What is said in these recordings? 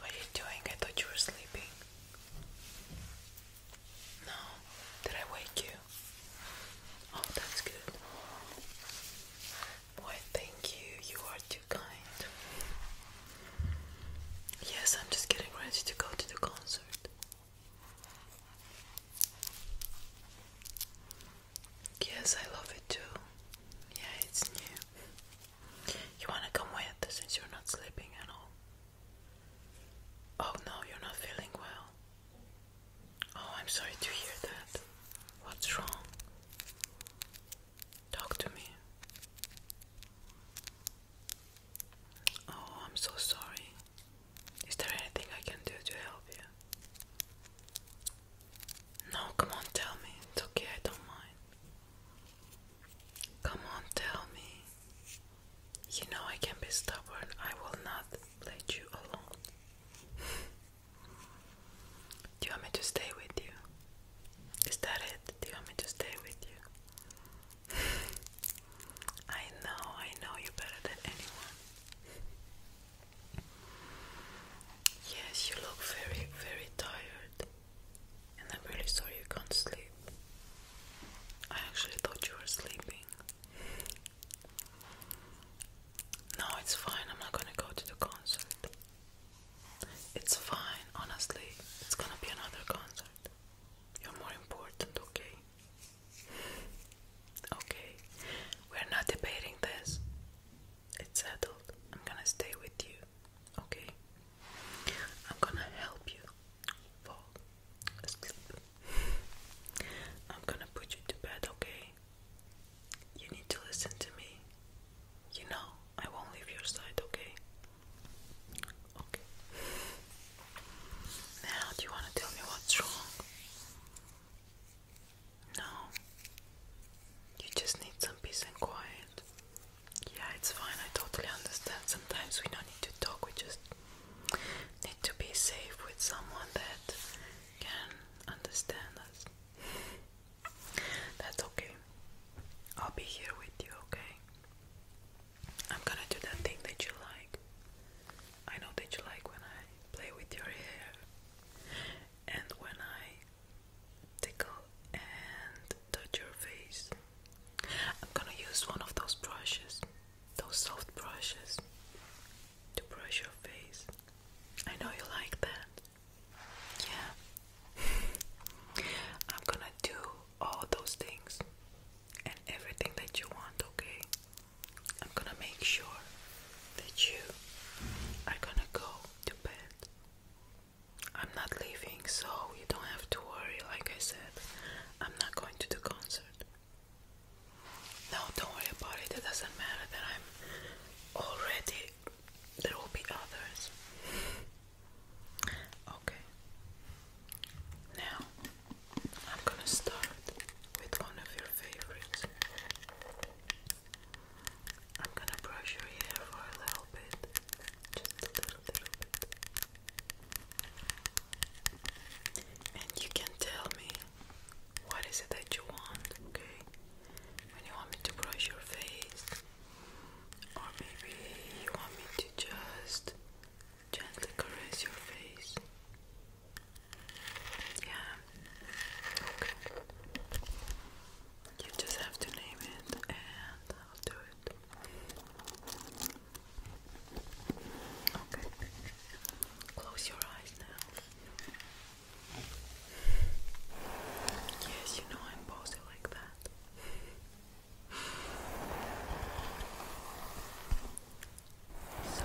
what are you doing? I thought you were sleeping. No, did I wake you? Oh, that's good. Why, thank you. You are too kind. Yes, I'm just getting ready to go to the concert. Yes, I love it too. Yeah, it's new. You wanna come with since you're not sleeping at all? Oh no, you're not feeling well. Oh, I'm sorry to hear that. What's wrong? Talk to me. Oh, I'm so sorry. Is there anything I can do to help you? No, come on, tell me. It's okay, I don't mind. Come on, tell me. You know I can be stubborn. I will not let you alone. Do you want me to stay with you? Is that it? Do you want me to stay with you? I know, I know you better than anyone. Yes, you look very, very tired. I'm really sorry you can't sleep. I actually thought you were sleeping. No, it's fine. I'm not gonna go to the concert. It's fine, honestly. It's gonna be another concert. You're more important, okay? Okay, we're not debating this. It's settled. I'm gonna stay with you, okay? I'm gonna help you fall asleep. I'm gonna put you to bed, okay? You need to listen to me. You know, I won't leave your side, okay? Okay. Now, do you wanna tell me what's wrong? No. You just need some peace and quiet. Yeah, it's fine. I totally understand. Sometimes we don't need to talk. We just need to be safe with someone that can understand us. That's okay. I'll be here with you, okay? I'm gonna do that thing that you like. I know that you like when I play with your hair and when I tickle and touch your face, I'm gonna use one of those brushes, those soft brushes, to brush your face. I know you like that. Yeah. I'm gonna do all those things and everything that you want, okay? I'm gonna make sure that you are gonna go to bed. I'm not leaving, so you don't have to worry. Like I said, I'm not going to the concert. No, don't worry about it. It doesn't matter that I'm already. There will be others. Okay. Now, I'm gonna start with one of your favorites. I'm gonna brush your hair for a little bit, just a little, little bit. And you can tell me what is it that you want, okay? When you want me to brush your face, or maybe you want me to just gently caress your face. Yeah. Okay. You just have to name it and I'll do it. Okay. Close your eyes now. Yes, you know I'm posing like that. So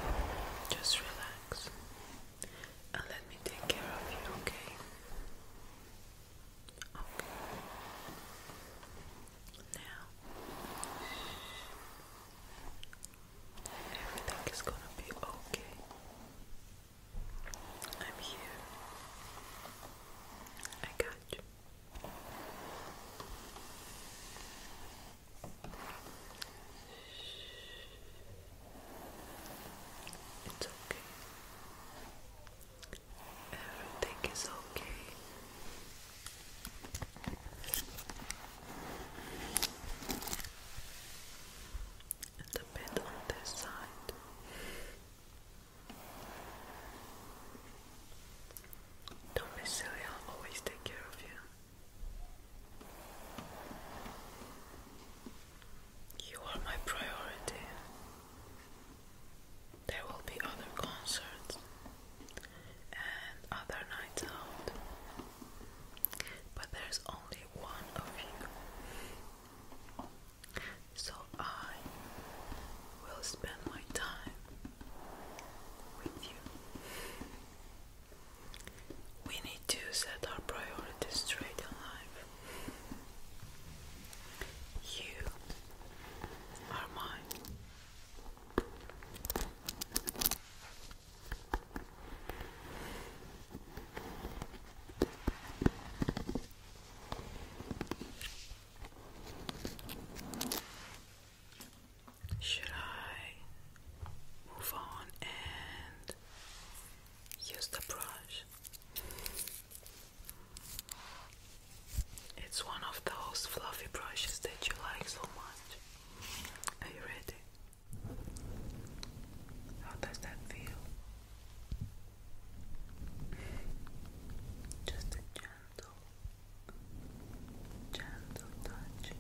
just relax and let me take care of you, okay? Okay. Now everything is gonna be okay. I'm here. I got you. It's okay. Everything is okay. And a on this side. Don't be silly, I'll always take care of you. You are my priority. There will be other concerts and other nights out, but there's only one of you. So I will spend my time with you. We need to set our priorities straight in life. You are mine. Should I move on and use the brush? It's one of those fluffy brushes that you like so much. Are you ready? How does that feel? Just a gentle gentle, touch.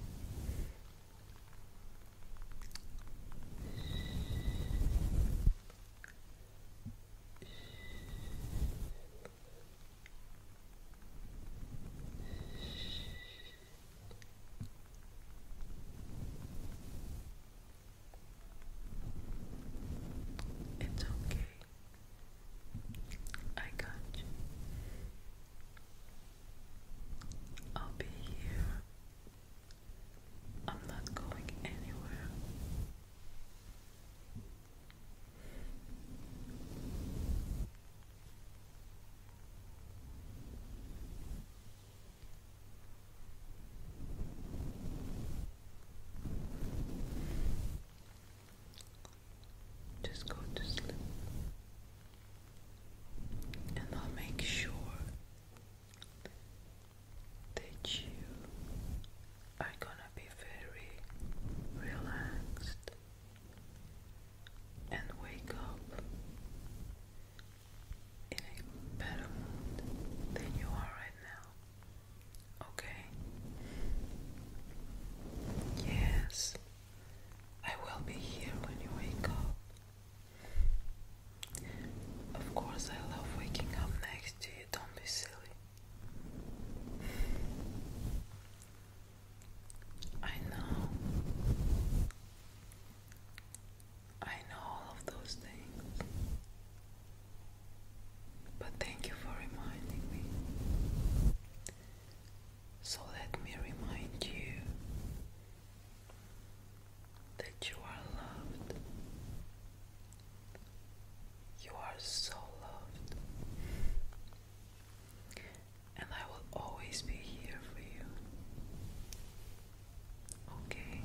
It's okay. I got you. I'll be here. I'm not going anywhere. Just go to sleep. And I'll make sure that you are gonna be very relaxed and wake up in a better mood than you are right now. Okay. Yes, I will be here when you wake up. Of course, I love waking up next to you, don't be silly. I know. I know all of those things. But thank you for reminding me. So let me remind you that you are loved. You are so loved. And I will always be here for you. Okay?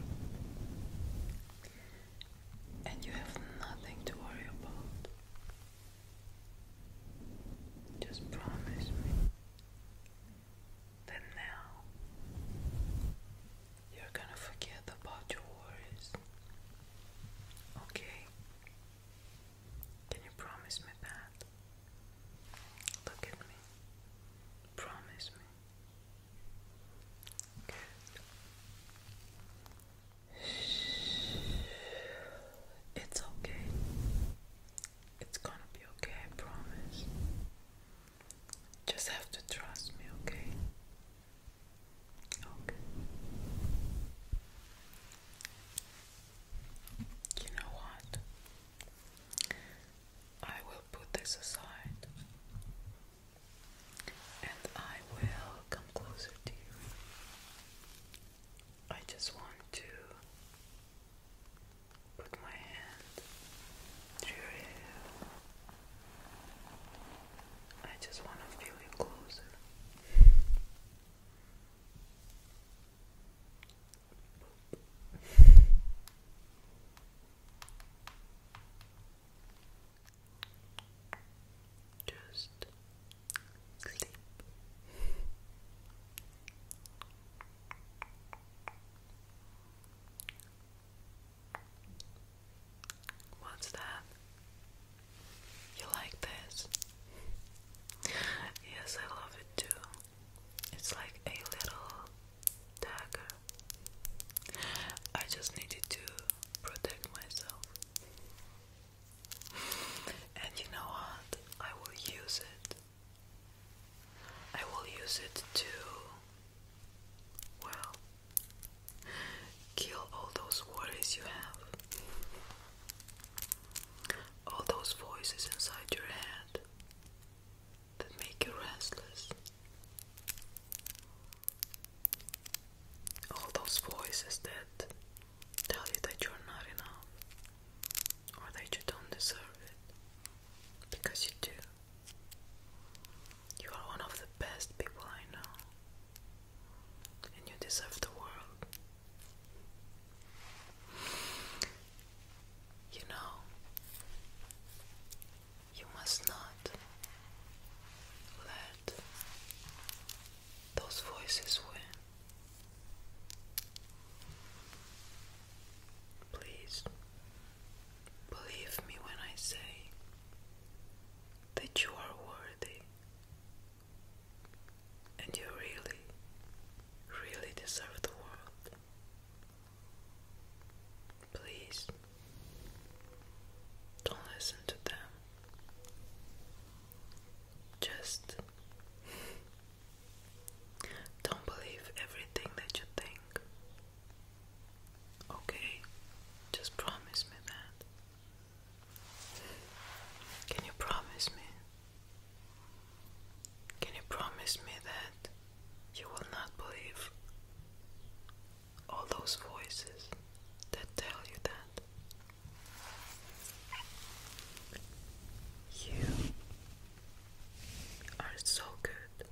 and you have nothing to worry about. Just promise me that now you're gonna forget about your worries. Okay? Can you promise me that? Look at me. Promise me. It's okay. It's gonna be okay, I promise. Just have to trust me, okay? Okay. You know what? I will put this aside and I will come closer to you. I just want to put my hand through your hair. I just want to feel you closer. Just sleep. What's that? You like this? Yes, I love it too. It's like a little dagger. I just needed to protect myself. And you know what? I will use it. I will use it to, well, kill all those worries you have, all those voices inside your head that make you restless. All those voices that tell you that you're not enough or that you don't deserve it because you do. You are one of the best people I know, and you deserve the world. You know, you must not let those voices win. Please believe me when I say that you are worthy and you really, really deserve the world. Please don't listen to them. Just don't believe everything that you think. Okay? Just promise me that. Can you promise me? Can you promise me that you will not believe all those voices that tell you that. You are so good.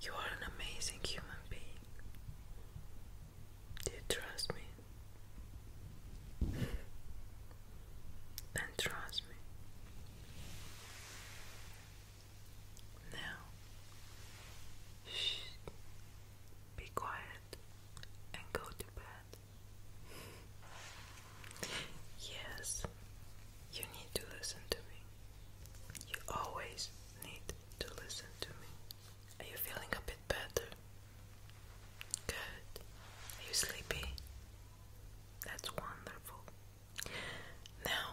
You are an amazing human being. Do you trust me? And trust me. Now, shh, be quiet and go to bed. yes, you need to listen to me. You always need to listen to me. Are you feeling a bit better? Good. Are you sleepy? That's wonderful. Now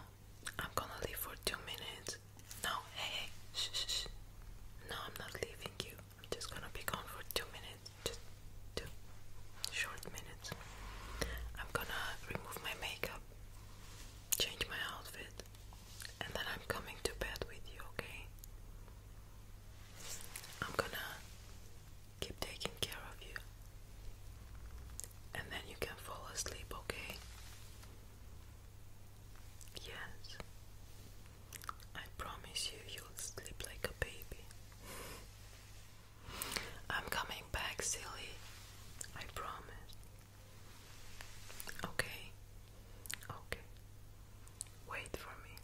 I'm gonna leave for two minutes. No, hey, shh, shh, shh. No, I'm not leaving you. I'm just gonna be gone for two minutes. Just two short minutes. I'm gonna remove my makeup, change my outfit, and then I'm coming to bed with you, okay? I'm gonna keep taking care of you. And then you can fall asleep, okay? Yes. I promise you, you'll sleep like a baby. I'm coming back, silly. I promise. Okay. Okay. Wait for me.